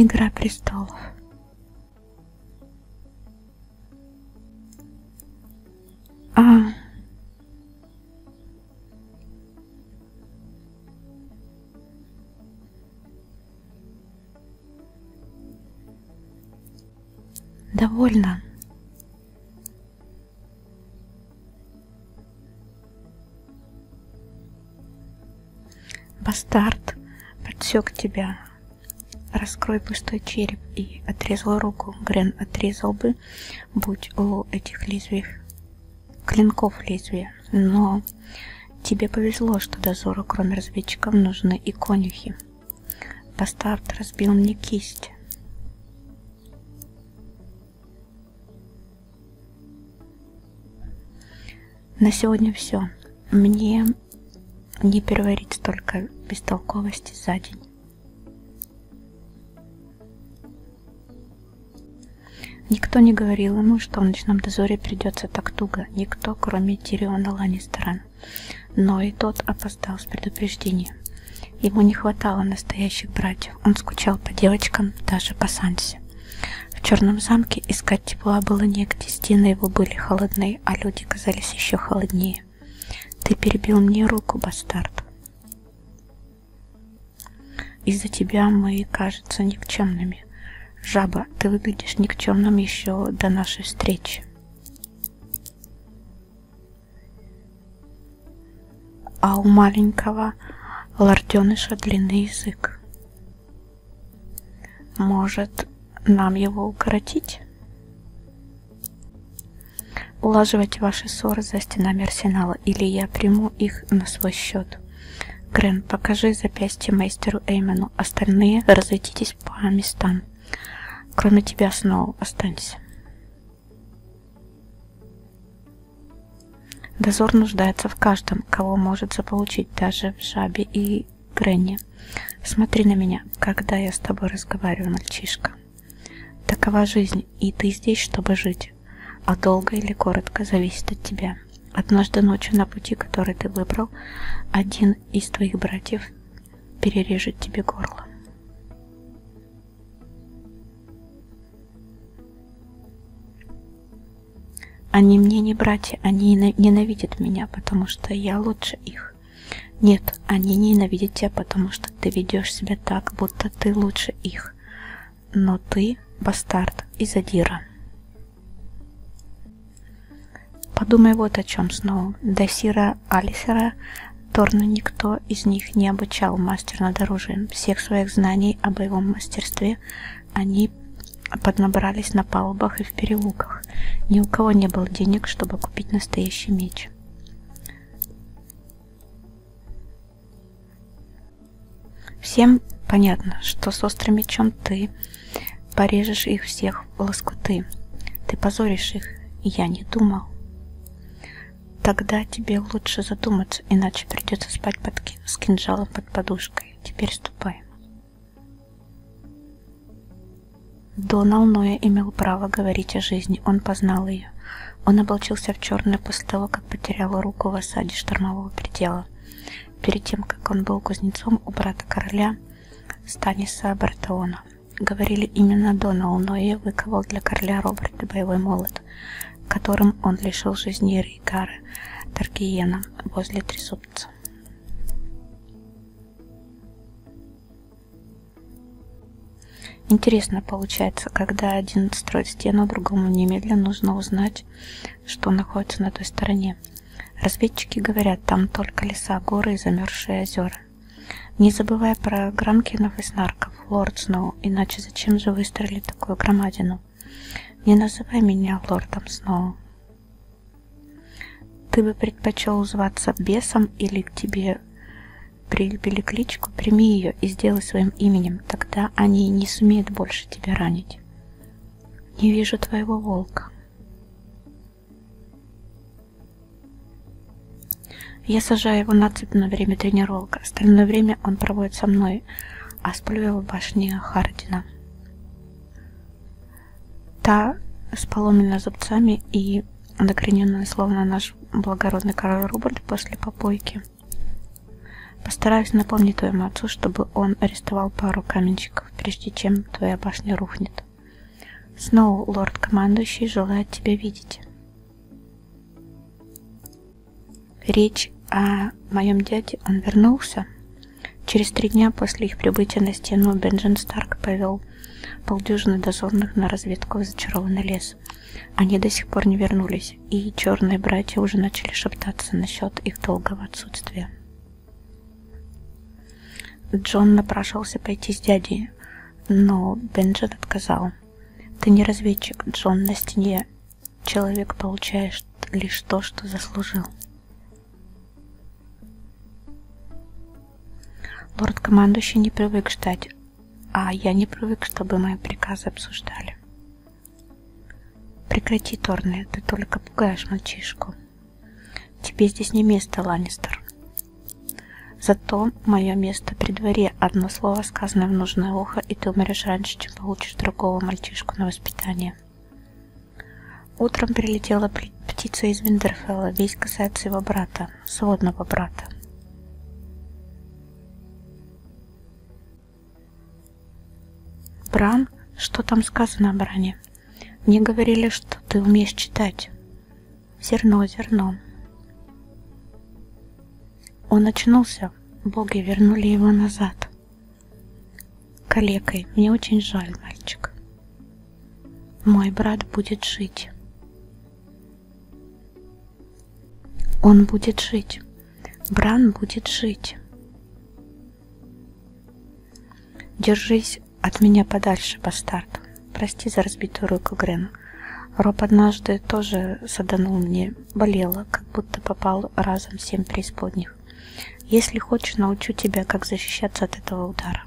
Игра престолов. А Довольно. Бастард подсек тебя. Раскрой пустой череп и отрезал руку. Грен отрезал бы, будь у этих лезвий клинков лезвия, но тебе повезло, что дозору, кроме разведчиков, нужны и конюхи. Бастард разбил мне кисть. На сегодня все. Мне не переварить столько бестолковости за день. Никто не говорил ему, что в ночном дозоре придется так туго, никто, кроме Тириона Ланнистера. Но и тот опоздал с предупреждением. Ему не хватало настоящих братьев, он скучал по девочкам, даже по Сансе. В черном замке искать тепла было негде, стены его были холодные, а люди казались еще холоднее. Ты перебил мне руку, бастард. Из-за тебя мы, кажется, никчемными. Жаба, ты выглядишь никчемным еще до нашей встречи. А у маленького лорденыша длинный язык. Может, нам его укоротить? Улаживать ваши ссоры за стенами арсенала, или я приму их на свой счет. Грен, покажи запястье мастеру Эймену. Остальные разойдитесь по местам. Кроме тебя, Сноу, останься. Дозор нуждается в каждом, кого может заполучить, даже в Жабе и Гренни. Смотри на меня, когда я с тобой разговариваю, мальчишка. Такова жизнь, и ты здесь, чтобы жить. А долго или коротко зависит от тебя. Однажды ночью на пути, который ты выбрал, один из твоих братьев перережет тебе горло. Они мне не братья, они ненавидят меня, потому что я лучше их. Нет, они ненавидят тебя, потому что ты ведешь себя так, будто ты лучше их. Но ты бастард и задира. Подумай вот о чем снова. До Сира Алисера Торну никто из них не обучал мастер над оружием. Всех своих знаний о боевом мастерстве они поднабрались на палубах и в переулках. Ни у кого не было денег, чтобы купить настоящий меч. Всем понятно, что с острым мечом ты порежешь их всех в лоскуты. Ты позоришь их, я не думал. Тогда тебе лучше задуматься, иначе придется спать под ки с кинжалом под подушкой. Теперь ступай. Донал Ноя имел право говорить о жизни, он познал ее. Он облачился в черное после того, как потерял руку в осаде штормового предела перед тем, как он был кузнецом у брата короля Станиса Бартеона. Говорили, именно Доналл Ное выковал для короля Роберта боевой молот, которым он лишил жизни Рейгара Таргиена возле Трисубца. Интересно получается, когда один строит стену, другому немедленно нужно узнать, что находится на той стороне. Разведчики говорят, там только леса, горы и замерзшие озера. Не забывай про Грамкинов и Снарков, лорд Сноу, иначе зачем же выстрелили такую громадину? Не называй меня лордом Сноу. Ты бы предпочел зваться бесом или к тебе прилепили кличку, прими ее и сделай своим именем, тогда они не сумеют больше тебя ранить. Не вижу твоего волка. Я сажаю его на цепь на время тренировок. Остальное время он проводит со мной, а сплю я в башне Хардина. Та с поломленными зубцами и докорененная, словно наш благородный король Руберт после попойки. Постараюсь напомнить твоему отцу, чтобы он арестовал пару каменщиков шаг, прежде чем твоя башня рухнет. Сноу, лорд-командующий, желает тебя видеть. Речь о моем дяде, он вернулся. Через три дня после их прибытия на стену Бенджин Старк повел полдюжины дозорных на разведку в зачарованный лес. Они до сих пор не вернулись, и черные братья уже начали шептаться насчет их долгого отсутствия. Джон напрашивался пойти с дядей, но Бенджет отказал. «Ты не разведчик, Джон, на стене. Человек получаешь лишь то, что заслужил». Лорд-командующий не привык ждать, а я не привык, чтобы мои приказы обсуждали. Прекрати, Торне, ты только пугаешь мальчишку. Тебе здесь не место, Ланнистер. Зато мое место при дворе. Одно слово сказано в нужное ухо, и ты умрешь раньше, чем получишь другого мальчишку на воспитание. Утром прилетела птица из Виндерфелла. Весь касается его брата, сводного брата. Бран? Что там сказано о Бране? Мне говорили, что ты умеешь читать. Зерно зерном. Он очнулся, боги вернули его назад. Калекой, мне очень жаль, мальчик. Мой брат будет жить. Он будет жить. Бран будет жить. «Держись от меня подальше, бастард. Прости за разбитую руку, Грен. Роб однажды тоже саданул мне. Болела, как будто попал разом семь преисподних. Если хочешь, научу тебя, как защищаться от этого удара».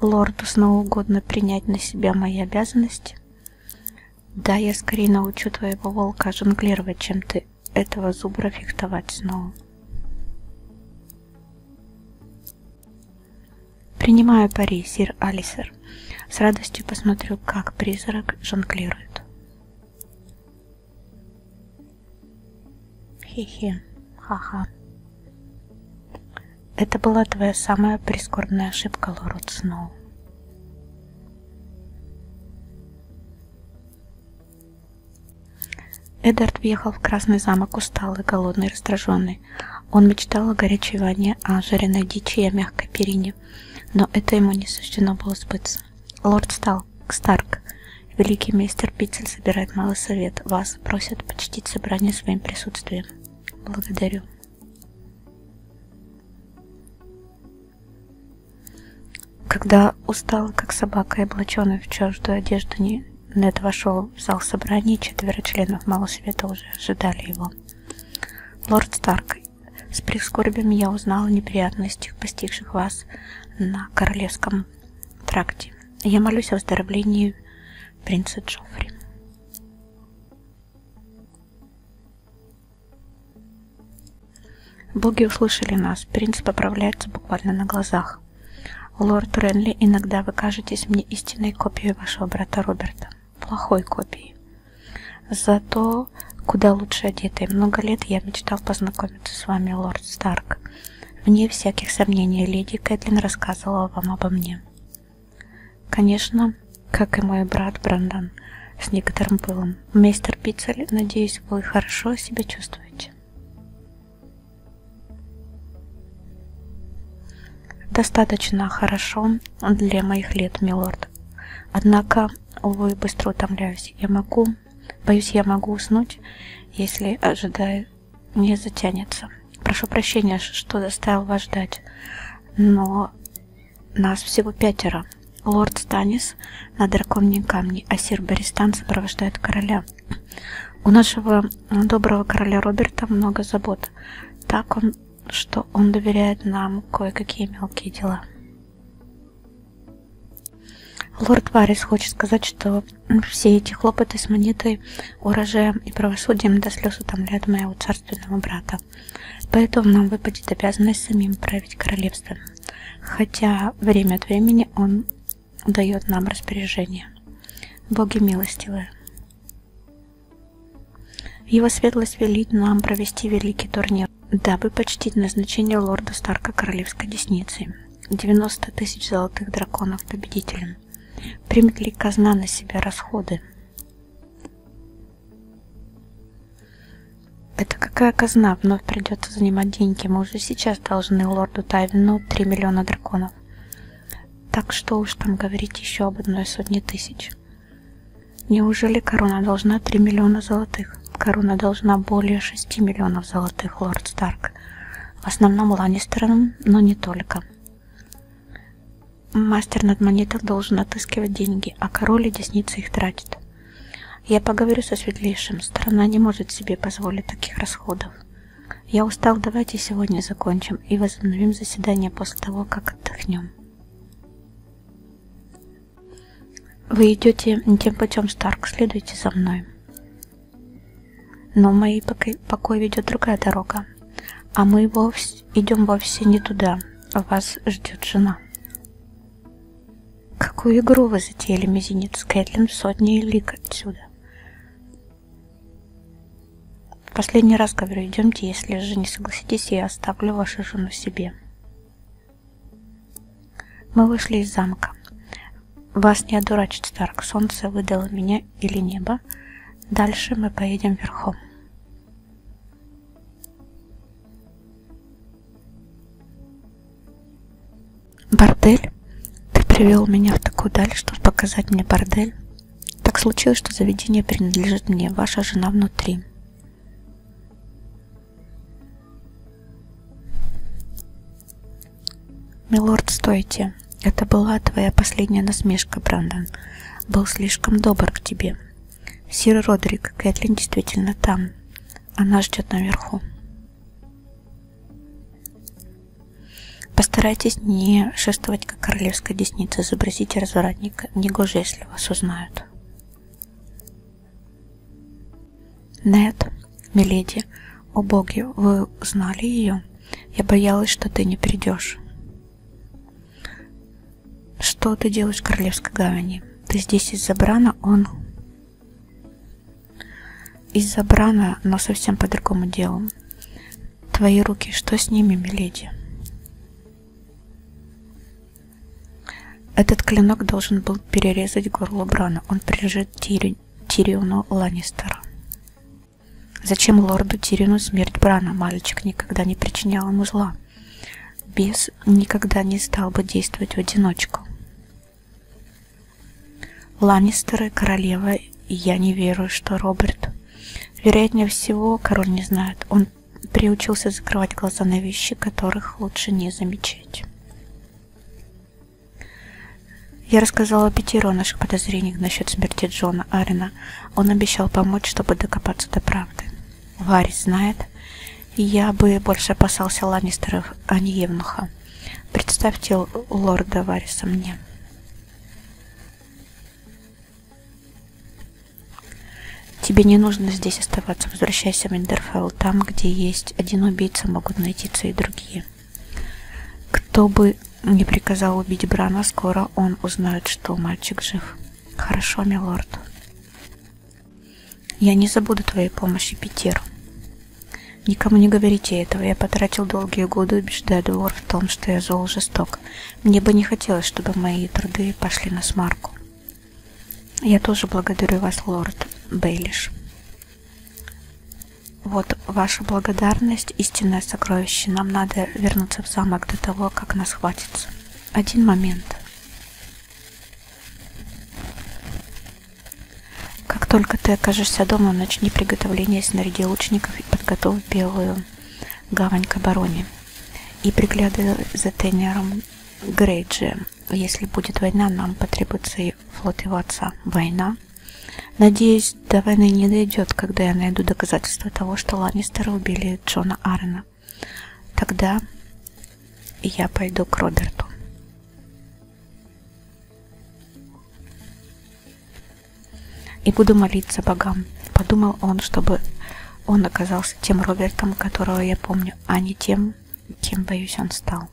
Лорду снова угодно принять на себя мои обязанности. Да, я скорее научу твоего волка жонглировать, чем ты этого зубра фехтовать снова. Принимаю пари, сир Алисер. С радостью посмотрю, как призрак жонглирует. Хе-хе, ха-ха. Это была твоя самая прискорбная ошибка, Лорд Сноу. Эддард въехал в Красный замок усталый, голодный, раздраженный. Он мечтал о горячей ванне, о жареной дичи и о мягкой перине, но это ему не суждено было сбыться. Лорд Стал, Старк, великий мистер Питцель собирает малый совет. Вас просят почтить собрание своим присутствием. Благодарю. Когда устала, как собака, и облаченная в чуждую одежду, Нед вошел в зал собраний, четверо членов Малого Света уже ожидали его. Лорд Старк, с прискорбием я узнала о неприятностях, постигших вас на королевском тракте. Я молюсь о выздоровлении принца Джоффри. Боги услышали нас, принц поправляется буквально на глазах. Лорд Ренли, иногда вы кажетесь мне истинной копией вашего брата Роберта. Плохой копией. Зато куда лучше одетой. Много лет я мечтал познакомиться с вами, лорд Старк. Вне всяких сомнений, леди Кэтлин рассказывала вам обо мне. Конечно, как и мой брат Брандон, с некоторым пылом. Мистер Пиццель, надеюсь, вы хорошо себя чувствуете. Достаточно хорошо для моих лет, милорд. Однако, увы, быстро утомляюсь. Я могу, боюсь, я могу уснуть, если ожидаю не затянется. Прошу прощения, что заставил вас ждать, но нас всего пятеро. Лорд Станис на драконьем камне, а сир Берестан сопровождает короля. У нашего э, доброго короля Роберта много забот. Так он, что он доверяет нам кое-какие мелкие дела. Лорд Варис хочет сказать, что все эти хлопоты с монетой, урожаем и правосудием до слез утомляют моего царственного брата королевства. Поэтому нам выпадет обязанность самим править королевством. Хотя время от времени он дает нам распоряжение. Боги милостивые. Его светлость велит нам провести великий турнир, дабы почтить назначение лорда Старка королевской десницы. 90 тысяч золотых драконов победителям. Примет ли казна на себя расходы? Это какая казна вновь придется занимать деньги? Мы уже сейчас должны лорду Тайвину 3 миллиона драконов. Так что уж там говорить еще об одной сотне тысяч. Неужели корона должна 3 миллиона золотых? Корона должна более 6 миллионов золотых, лорд Старк. В основном Ланнистерам, но не только. Мастер над монеток должен отыскивать деньги, а король и десница их тратит. Я поговорю со светлейшим. Страна не может себе позволить таких расходов. Я устал, давайте сегодня закончим и возобновим заседание после того, как отдохнем. Вы идете не тем путем, Старк, следуйте за мной. Но в моей покой ведет другая дорога, а мы вовсе, идем вовсе не туда. Вас ждет жена. Какую игру вы затеяли, мизинец? Кэтлин в сотни лик отсюда. В последний раз говорю, идемте, если же не согласитесь, я оставлю вашу жену себе. Мы вышли из замка. Вас не одурачит, Старк, солнце выдало меня или небо. Дальше мы поедем верхом. Бордель? Ты привел меня в такую даль, чтобы показать мне бордель. Так случилось, что заведение принадлежит мне, ваша жена внутри. Милорд, стойте. Это была твоя последняя насмешка, Брандон. Был слишком добр к тебе. Сир Родрик, Кэтлин действительно там. Она ждет наверху. Постарайтесь не шествовать, как королевская десница. Изобразите развратника. Негоже, если вас узнают. Нет, миледи, о боги, вы узнали ее? Я боялась, что ты не придешь. Что ты делаешь в Королевской гавани? Ты здесь из-за Брана, он... Из-за Брана, но совсем по другому делу. Твои руки, что с ними, миледи? Этот клинок должен был перерезать горло Брана. Он прижит Тири... Тириону Ланнистера. Зачем лорду Тирину смерть Брана? Мальчик никогда не причинял ему зла бес никогда не стал бы действовать в одиночку. Ланнистеры, королева, и я не верю, что Роберт. Вероятнее всего, король не знает, он приучился закрывать глаза на вещи, которых лучше не замечать. Я рассказала Питеру о наших подозрениях насчет смерти Джона Арена. Он обещал помочь, чтобы докопаться до правды. Гарри знает. Я бы больше опасался Ланнистеров, а не Евнуха. Представьте лорда Вариса мне. Тебе не нужно здесь оставаться. Возвращайся в Эндерфелл. Там, где есть один убийца, могут найтиться и другие. Кто бы не приказал убить Брана, скоро он узнает, что мальчик жив. Хорошо, милорд. Я не забуду твоей помощи, Питер. Никому не говорите этого. Я потратил долгие годы, убеждая двор в том, что я зол жесток. Мне бы не хотелось, чтобы мои труды пошли на смарку. Я тоже благодарю вас, лорд Бейлиш. Вот ваша благодарность, истинное сокровище. Нам надо вернуться в замок до того, как нас хватится. Один момент. Как только ты окажешься дома, начни приготовление снаряди лучников и подготовь белую гавань к обороне. И приглядывай за Тенером Грейджи. Если будет война, нам потребуется и флот его отца. Война? Надеюсь, до войны не дойдет, когда я найду доказательства того, что Ланнистеры убили Джона Арена. Ладно, тогда я пойду к Роберту. И буду молиться богам. Подумал он, чтобы он оказался тем Робертом, которого я помню, а не тем, кем, боюсь, он стал.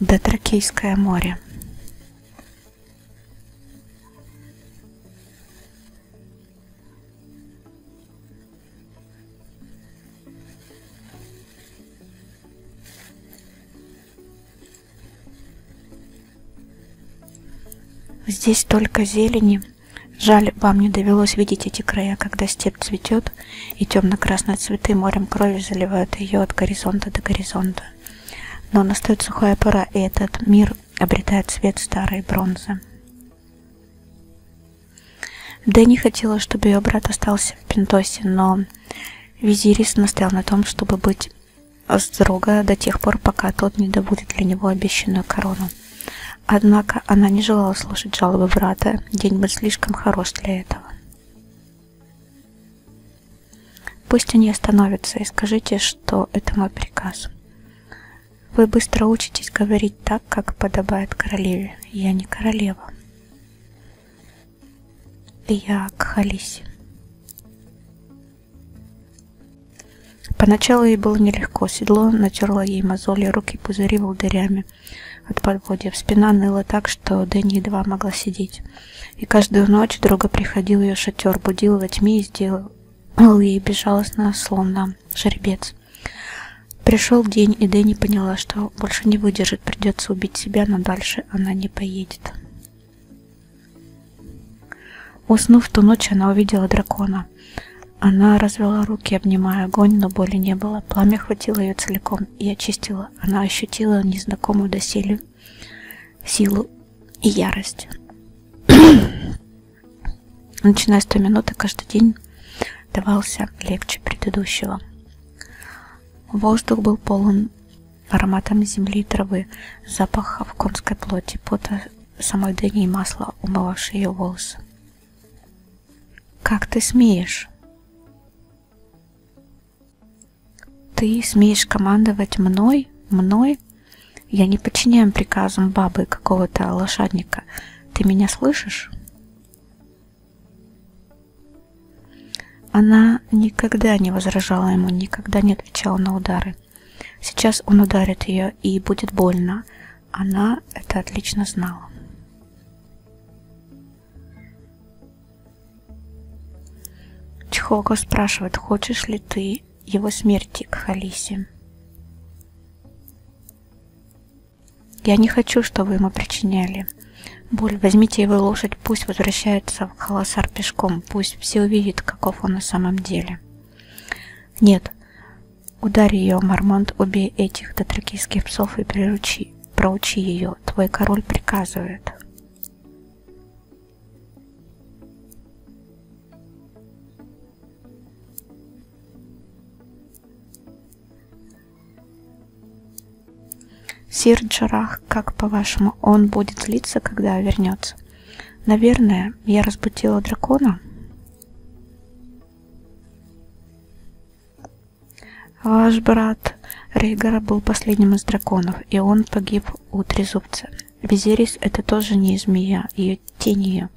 Да Тракейское море. Здесь только зелени. Жаль, вам не довелось видеть эти края, когда степь цветет, и темно-красные цветы морем крови заливают ее от горизонта до горизонта. Но настает сухая пора, и этот мир обретает цвет старой бронзы. Дэнни хотела, чтобы ее брат остался в Пентосе, но Визирис настоял на том, чтобы быть с друга до тех пор, пока тот не добудет для него обещанную корону. Однако она не желала слушать жалобы брата, день был слишком хорош для этого. Пусть они остановятся и скажите, что это мой приказ. Вы быстро учитесь говорить так, как подобает королеве. Я не королева. Я Кхалиси. Поначалу ей было нелегко. Седло натерло ей мозоли, руки пузыри волдырями от подводья. Спина ныла так, что Дэнни едва могла сидеть. И каждую ночь друга приходил ее шатер, будил во тьме и сделал ей безжалостно, словно шербец. Пришел день, и Дэнни поняла, что больше не выдержит, придется убить себя, но дальше она не поедет. Уснув ту ночь, она увидела дракона. Она развела руки, обнимая огонь, но боли не было. Пламя хватило ее целиком и очистило. Она ощутила незнакомую доселе силу и ярость. Начиная с той минуты, каждый день давался легче предыдущего. Воздух был полон ароматом земли и травы, запахов конской плоти, пота самой дыни и масла, умывавшие ее волосы. «Как ты смеешь?» «Ты смеешь командовать мной? Мной?» Я не подчиняю приказам бабы какого-то лошадника. Ты меня слышишь? Она никогда не возражала ему, никогда не отвечала на удары. Сейчас он ударит ее, и будет больно. Она это отлично знала. Чхоко спрашивает, хочешь ли ты день его смерти к Халисе. Я не хочу, что вы ему причиняли. Боль, возьмите его лошадь, пусть возвращается в холосар пешком, пусть все увидят, каков он на самом деле. Нет, ударь ее, Мармонт, убей этих татракийских псов и приручи, проучи ее, твой король приказывает. Сир Джарах, как по-вашему, он будет злиться, когда вернется? Наверное, я разбудила дракона. Ваш брат Рейгара был последним из драконов, и он погиб у трезубца. Визерис это тоже не змея, и ее тенью.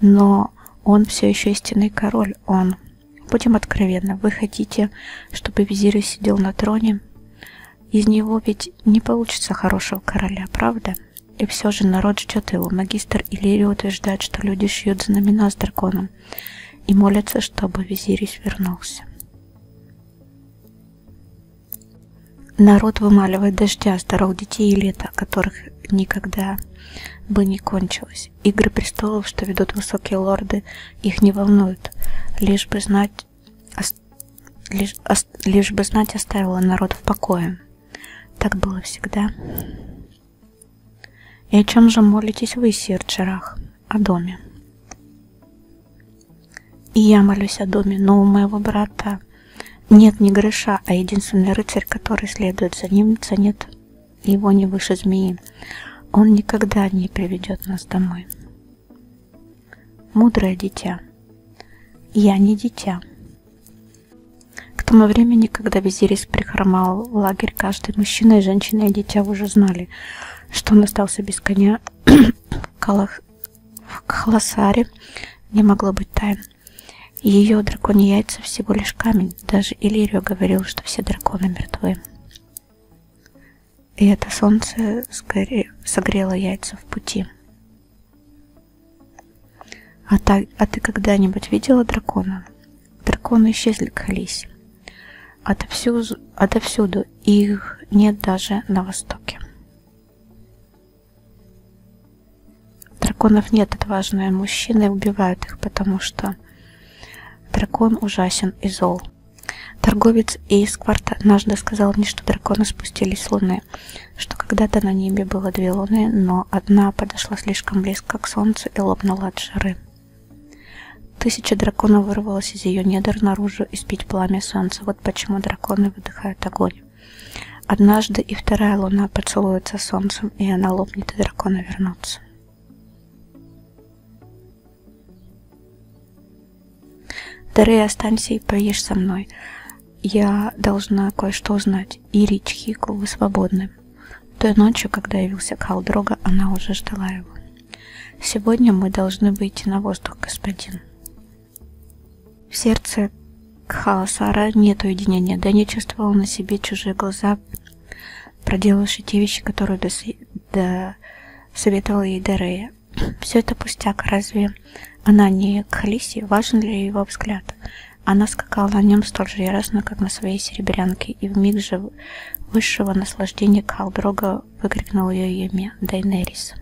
Но он все еще истинный король, он... Будем откровенны, вы хотите, чтобы визирь сидел на троне? Из него ведь не получится хорошего короля, правда? И все же народ ждет его. Магистр Иллирий утверждает, что люди шьют знамена с драконом и молятся, чтобы визирь вернулся. Народ вымаливает дождя, здоров детей и лета, которых никогда бы не кончилось. Игры престолов, что ведут высокие лорды, их не волнуют. Лишь бы знать, ос, лишь, ос, лишь бы знать оставила народ в покое. Так было всегда. И о чем же молитесь вы, сир Джерах? О доме. И я молюсь о доме нового моего брата, нет ни гроша, а единственный рыцарь, который следует за ним, ценит его не выше змеи. Он никогда не приведет нас домой. Мудрое дитя. Я не дитя. К тому времени, когда Визирис прихромал лагерь, каждый мужчина и женщина и дитя уже знали, что он остался без коня в, Калах... в Халасаре, не могло быть тайн. Ее драконьи яйца всего лишь камень. Даже Иллирио говорил, что все драконы мертвы. И это солнце сгоре... согрело яйца в пути. А, та... а ты когда-нибудь видела дракона? Драконы исчезли к Халисе. Отовсюду, отовсюду их нет даже на востоке. Драконов нет, отважные мужчины убивают их, потому что дракон ужасен и зол. Торговец Эйсквард однажды сказал мне, что драконы спустились с луны, что когда-то на небе было две луны, но одна подошла слишком близко к солнцу и лопнула от жары. Тысяча драконов вырвалась из ее недр наружу и спить пламя солнца. Вот почему драконы выдыхают огонь. Однажды и вторая луна поцелуется солнцем, и она лопнет, и драконы вернутся. Дары, останься и поешь со мной. Я должна кое-что узнать. Ири Чхику, вы свободны. Той ночью, когда явился Халдрога, она уже ждала его. Сегодня мы должны выйти на воздух, господин. В сердце хаосара а нет уединения, да не чувствовал на себе чужие глаза, проделавшие те вещи, которые дос... до... советовал ей Дерея. Все это пустяк, разве она не к Халисе? Важен ли его взгляд? Она скакала на нем столь же яростно, как на своей серебрянке, и в миг же высшего наслаждения Калдрога выкрикнул ее имя Дайнерис.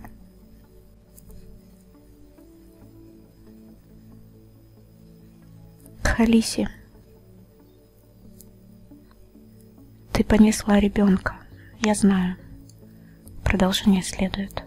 Халиси, ты понесла ребенка, я знаю. Продолжение следует.